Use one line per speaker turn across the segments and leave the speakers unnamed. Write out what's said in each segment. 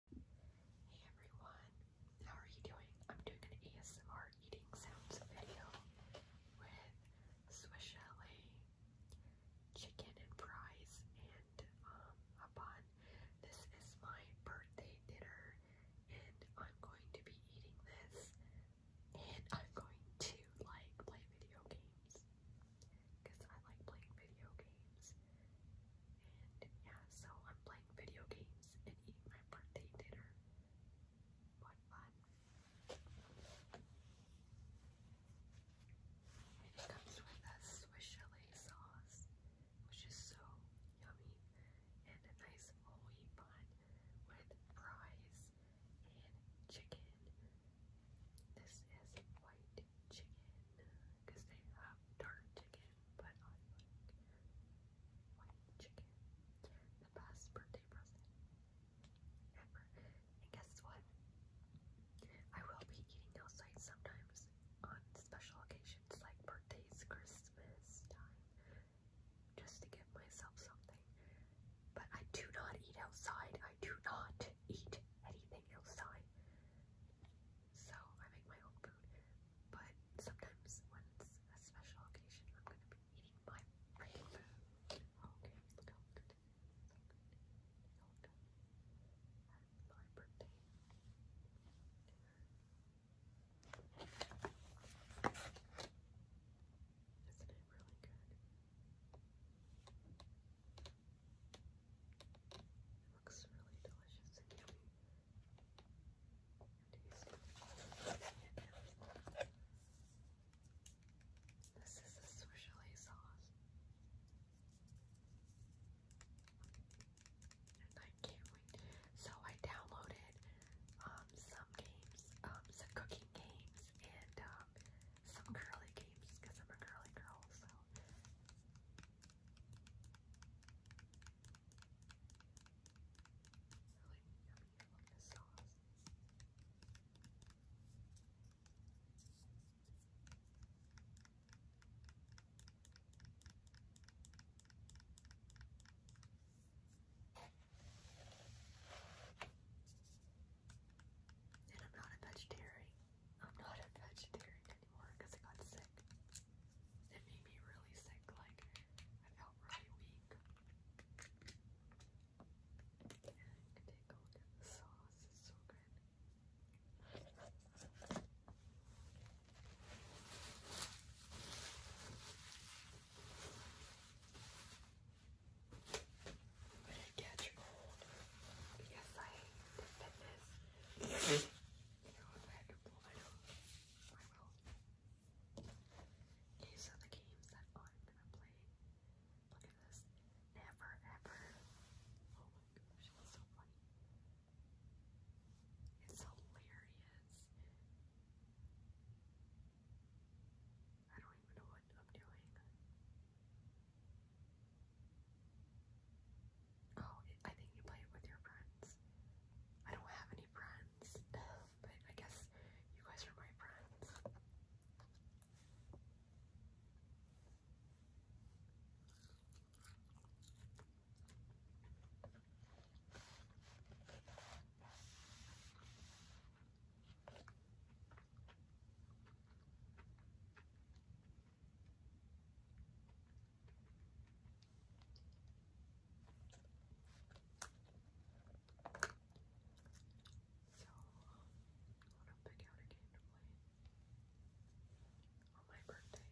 Hey everyone, how are you doing? I'm doing an ASMR eating sounds video with Swiss Chalet, chicken and fries, and um, a bun. This is my birthday dinner, and I'm going to be eating this, and I'm going to like play video games because I like playing video games. And yeah, so I'm playing video games and eating my birthday dinner. What fun! it comes with a Swiss chalet sauce, which is so yummy, and a nice holy bun with fries and chicken. This is white chicken because they have dark chicken but I white chicken. The best birthday present ever. And guess what? I will be eating outside sometimes on special occasions like birthdays, Christmas time, just to give myself something. But I do not eat outside. I do not eat anything outside so I make my own food. But sometimes when it's a special occasion, I'm gonna be eating my birthday. Isn't it really good? It looks really delicious this is a swirly sauce. And I can't wait. So I downloaded um, some games, um, some cooking games, and um, some curly games because I'm a curly girl. So really yummy. And I'm not a vegetarian, I'm not a vegetarian anymore because I got sick. It made me really sick, like I felt really weak. And take a look at the sauce, it's so good. But it gets cold because I hate fitness. You know, the games that I'm gonna play. Look at this. Never ever. Oh my gosh, it's so funny. It's hilarious. I don't even know what I'm doing. Oh, I think you play it with your friends. I don't have any friends, but I guess you guys are my friends. So, I want to pick out a game to play on my birthday.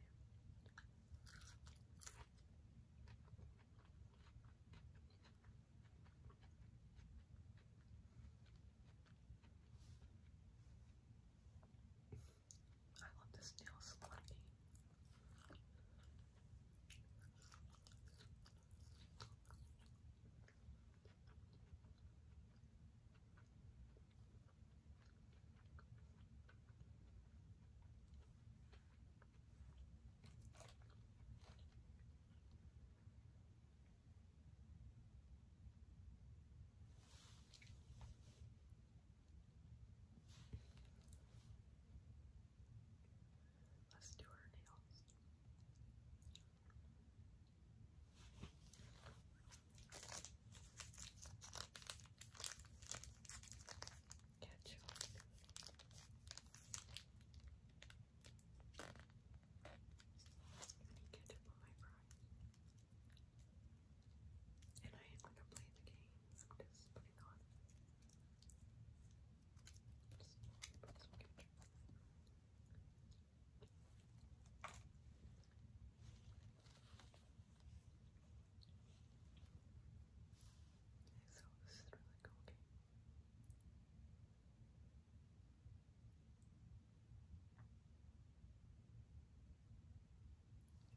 I want this nail salon Let's do our nails. Catch up. Get up on my fries. And I am gonna play the game. I'm just putting on. Okay, so this is really cool game.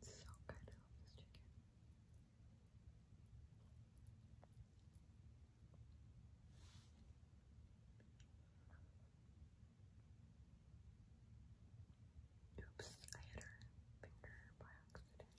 It's so good. this chicken. Oops, I hit her finger by accident.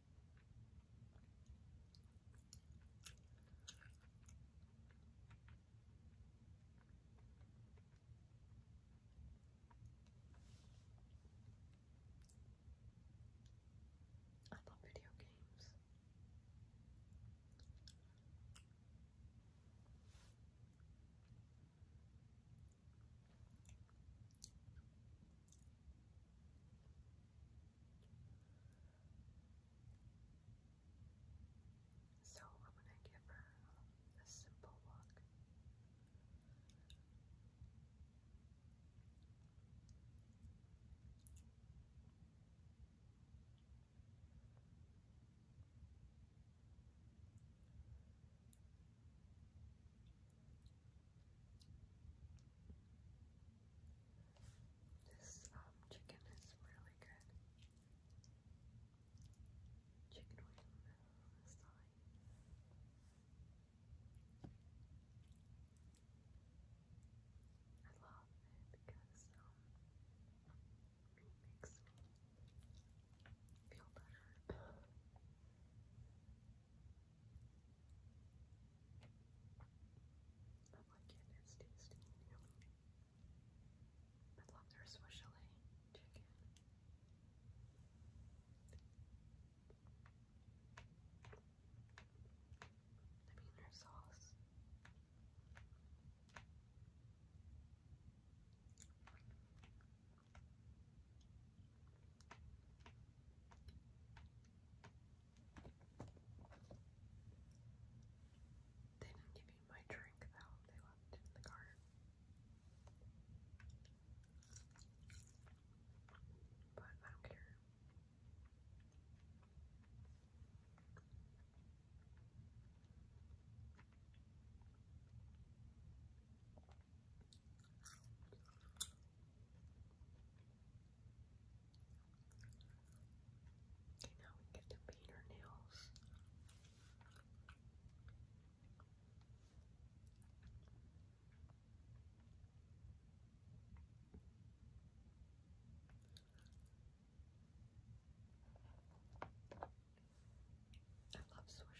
I love video games. So I'm going to give her a simple look. This um, chicken is really good. Chicken wing this I love it because um, it makes me feel better. I like it, it's I love their swishily chicken. I mean, their sauce. They didn't give me my drink though, they left in the car. But I don't care. Okay, now we get to paint our nails. I love Swishelee's prize, they're so good.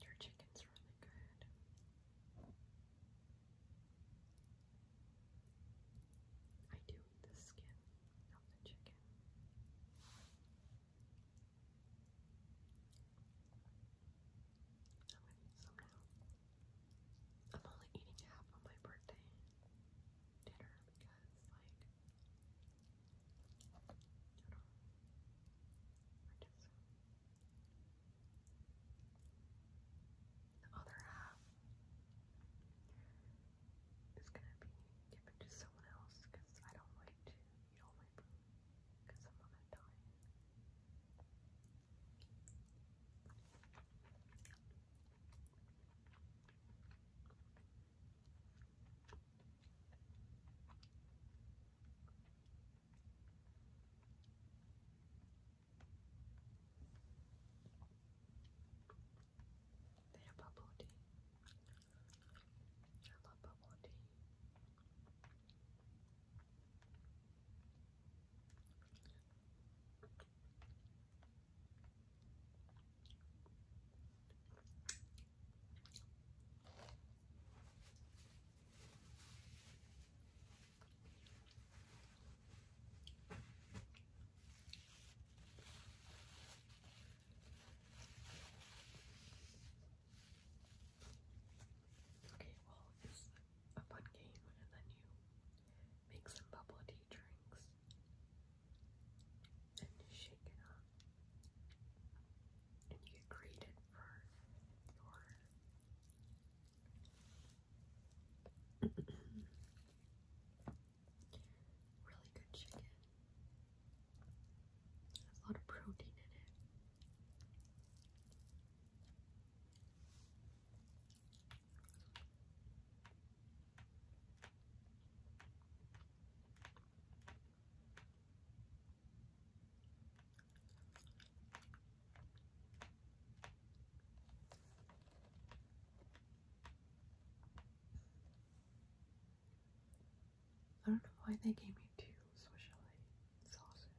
Your chicken's really good. I do eat the skin, not the chicken. I'm only eating half on my birthday dinner because, like, the other half is gonna be given to someone else because I don't like to they're bubble tea. I love bubble tea. Okay, well, it's a fun game, and then you make some bubble tea drinks and shake it up. And you get graded for your really good chicken. a lot of protein in it. I don't know why they gave me two specialty sauces.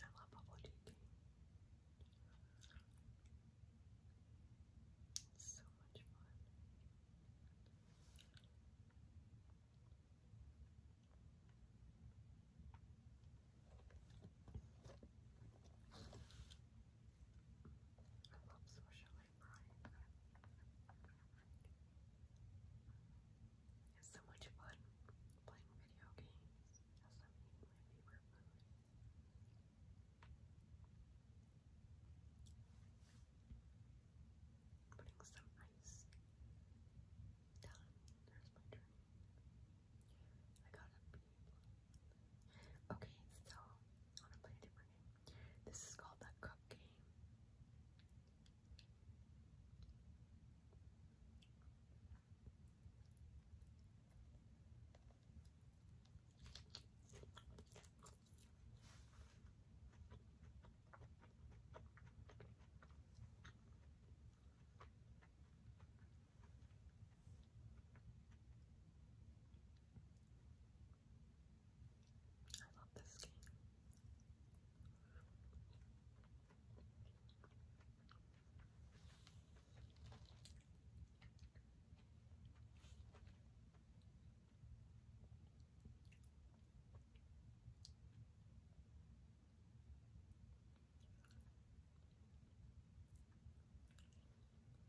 I love bubble tea. It's so much fun. I love social it's so much fun playing video games Putting some ice down. There's my turn. I gotta Okay, so I want to play a different game. This is called the cup game. I love this game.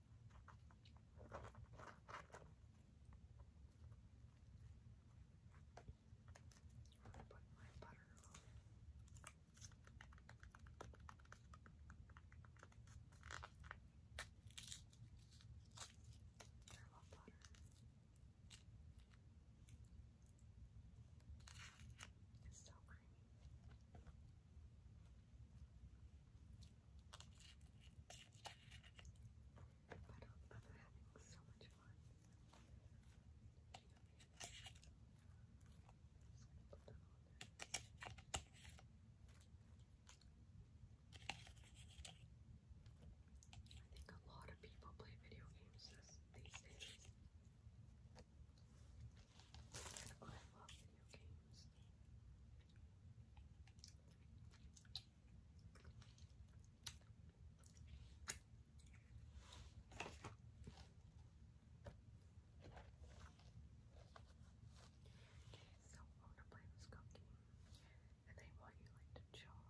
I'm put my butter on it. I love butter. It's so creamy. But I'm, having so much fun. I think a lot of people play video games these days. I love video games. So I'm to play this cookie, and they want you like to chop.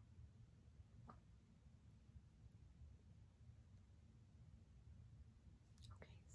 Okay, so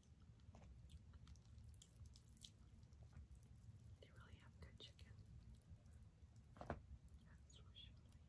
They really have good chicken. I'm making a salad in the game.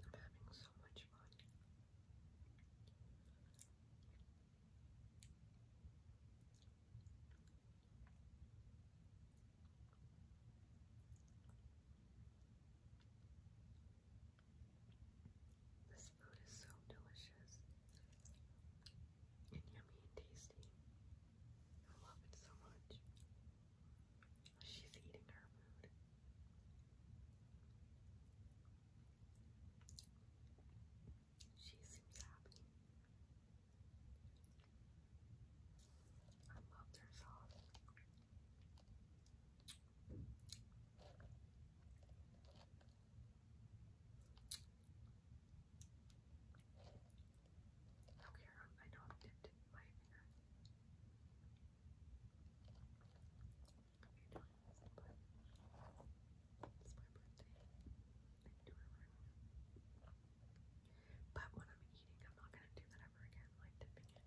I'm having so much fun. This food is so delicious and yummy and tasty. I love it so much. She's eating her food. She seems happy. I loved her song. Okay, um, I know I'm dipped my finger. it's my birthday. But when I'm eating, I'm not gonna do that ever again, like dipping it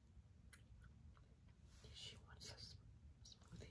She wants a smoothie.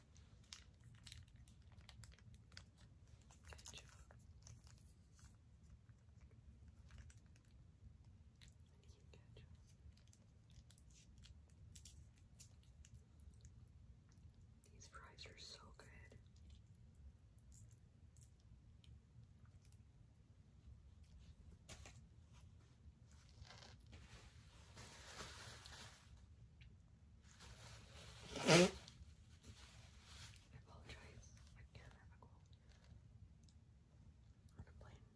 Good job. you These fries are so good. I apologize. Again, I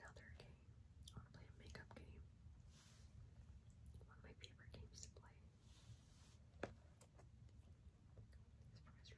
have a cold. I'm gonna play another game. I wanna play a makeup game. One of my favorite games to play. These fries are so delicious.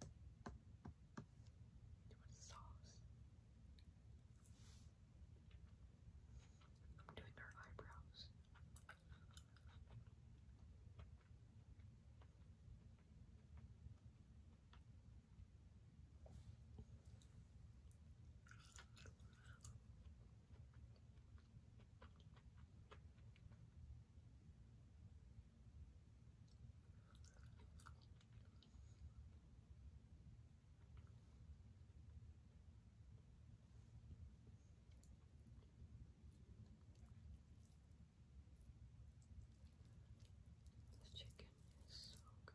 Do you sauce? I'm doing her eyebrows. This chicken is so good.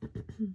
could eat all my food.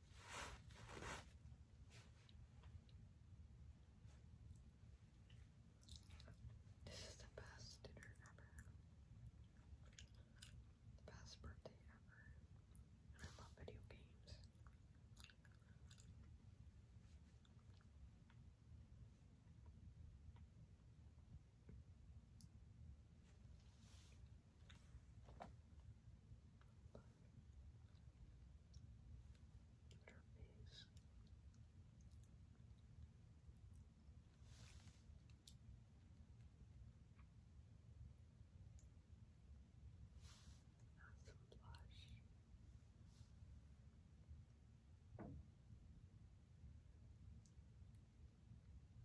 This is the best dinner ever. The best birthday ever. I love video games. Herpes. Have some blush. She's so pretty. Now oh, the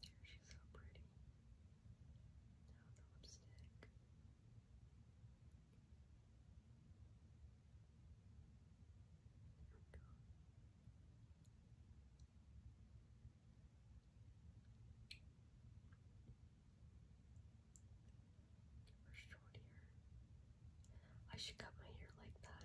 lipstick. There we go. Give her short hair. I should cut my hair like that.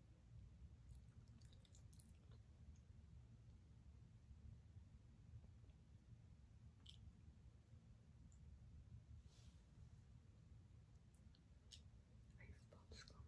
I use popsicle maker.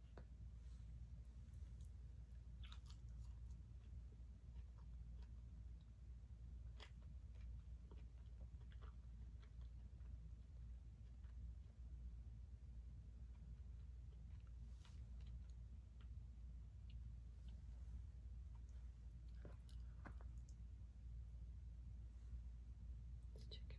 This chicken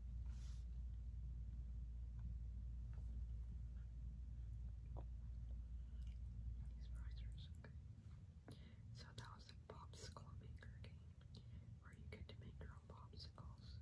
okay. So that was the popsicle maker game where you get to make your own popsicles.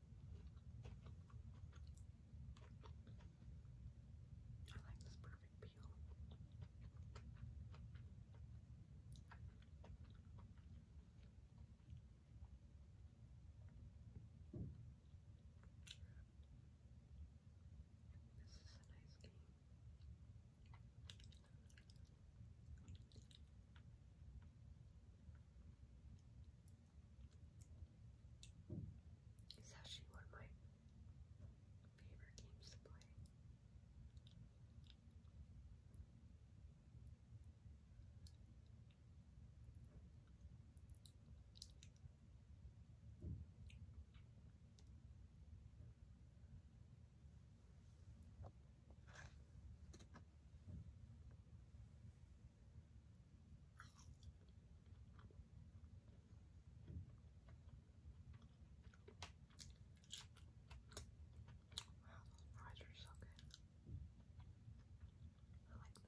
I like this perfect peel. This is a nice game. It's actually one of my favorite games to play those fries are so good. I like them.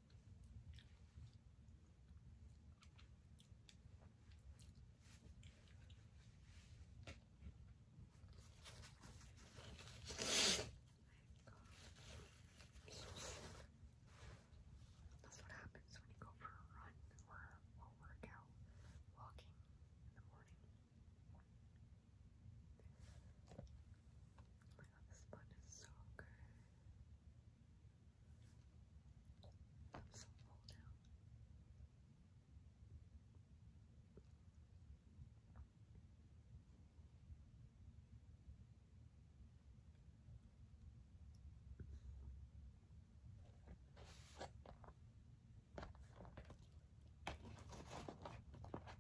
That's what happens when you go for a run or a workout, walking in the morning. Oh my god, this bun is so good. I'm so full now.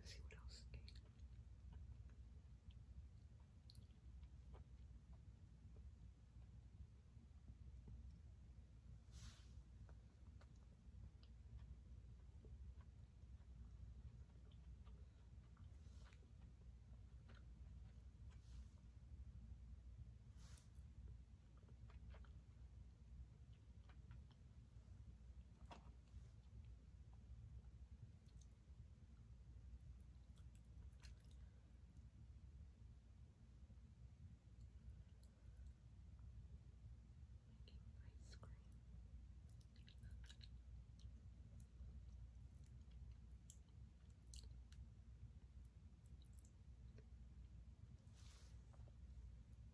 Let's see what else ice cream.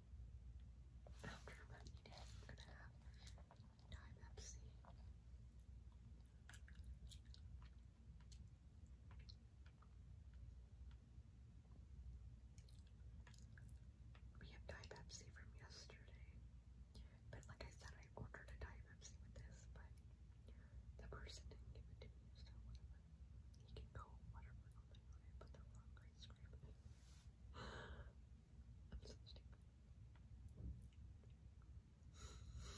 I'm going I'm gonna have Diet We have Diet from yesterday, but like I said, I ordered a Diet with this, but the person didn't give it to me, so whatever. You can go whatever. I put the wrong ice cream. I'm so stupid. Then look at the price.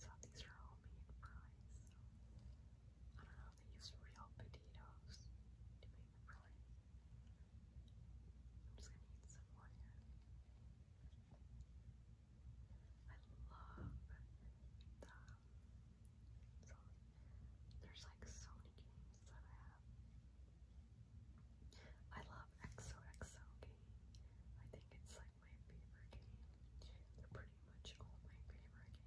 So these are all made price. So I don't know they use real potatoes to make really. I'm just gonna eat some more here. I love the so there's like so many games that I have. I love XOXO game. I think it's like my favorite game. They're pretty much all my favorite games.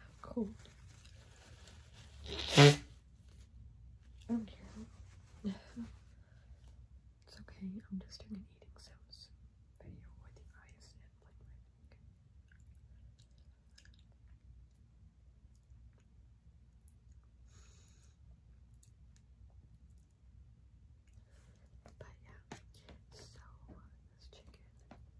I'm cold. I don't care. it's okay, I'm just doing an eating sounds video with the eyes and like my But yeah, so uh, this chicken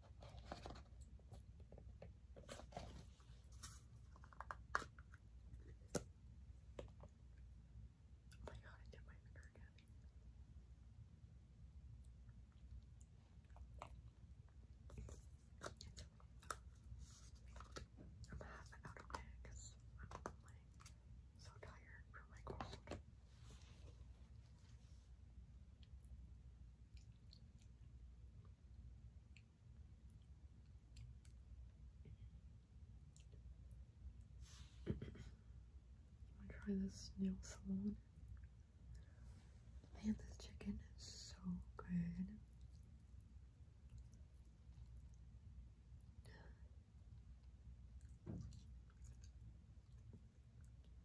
Oh my god, I did my finger again. I'm half out of it I'm like so tired from my cold. I'm going try this nail salon. Man, this chicken is so good.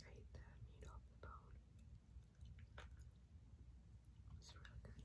I ate the meat off the bone. It's really good.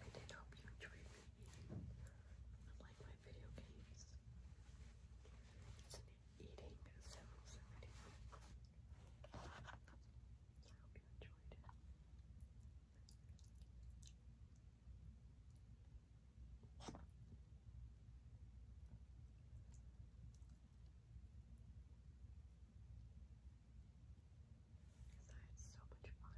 I did hope you enjoyed me unlike my video games. It's an eating sounds I hope you enjoyed it. Because I had so much fun.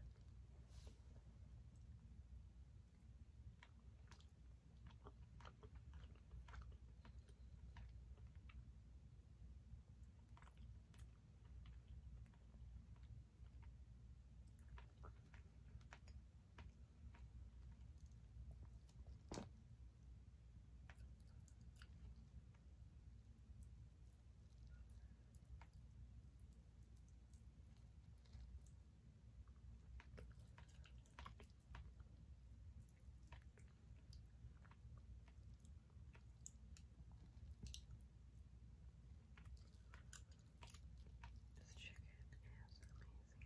This chicken is amazing.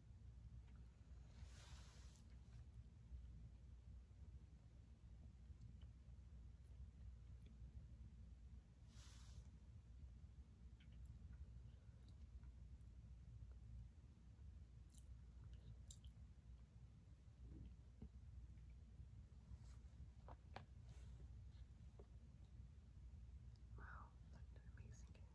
Wow, what an amazing container.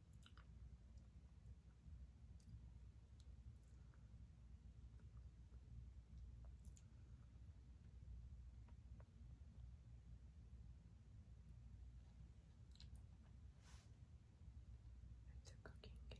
It's a cooking game.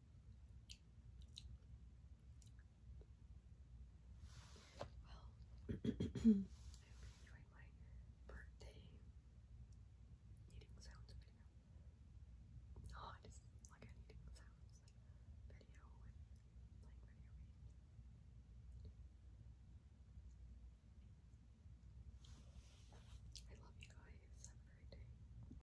Well, I hope you enjoyed my birthday eating sounds video. Oh, I just like an eating sounds video like video I love you guys. Have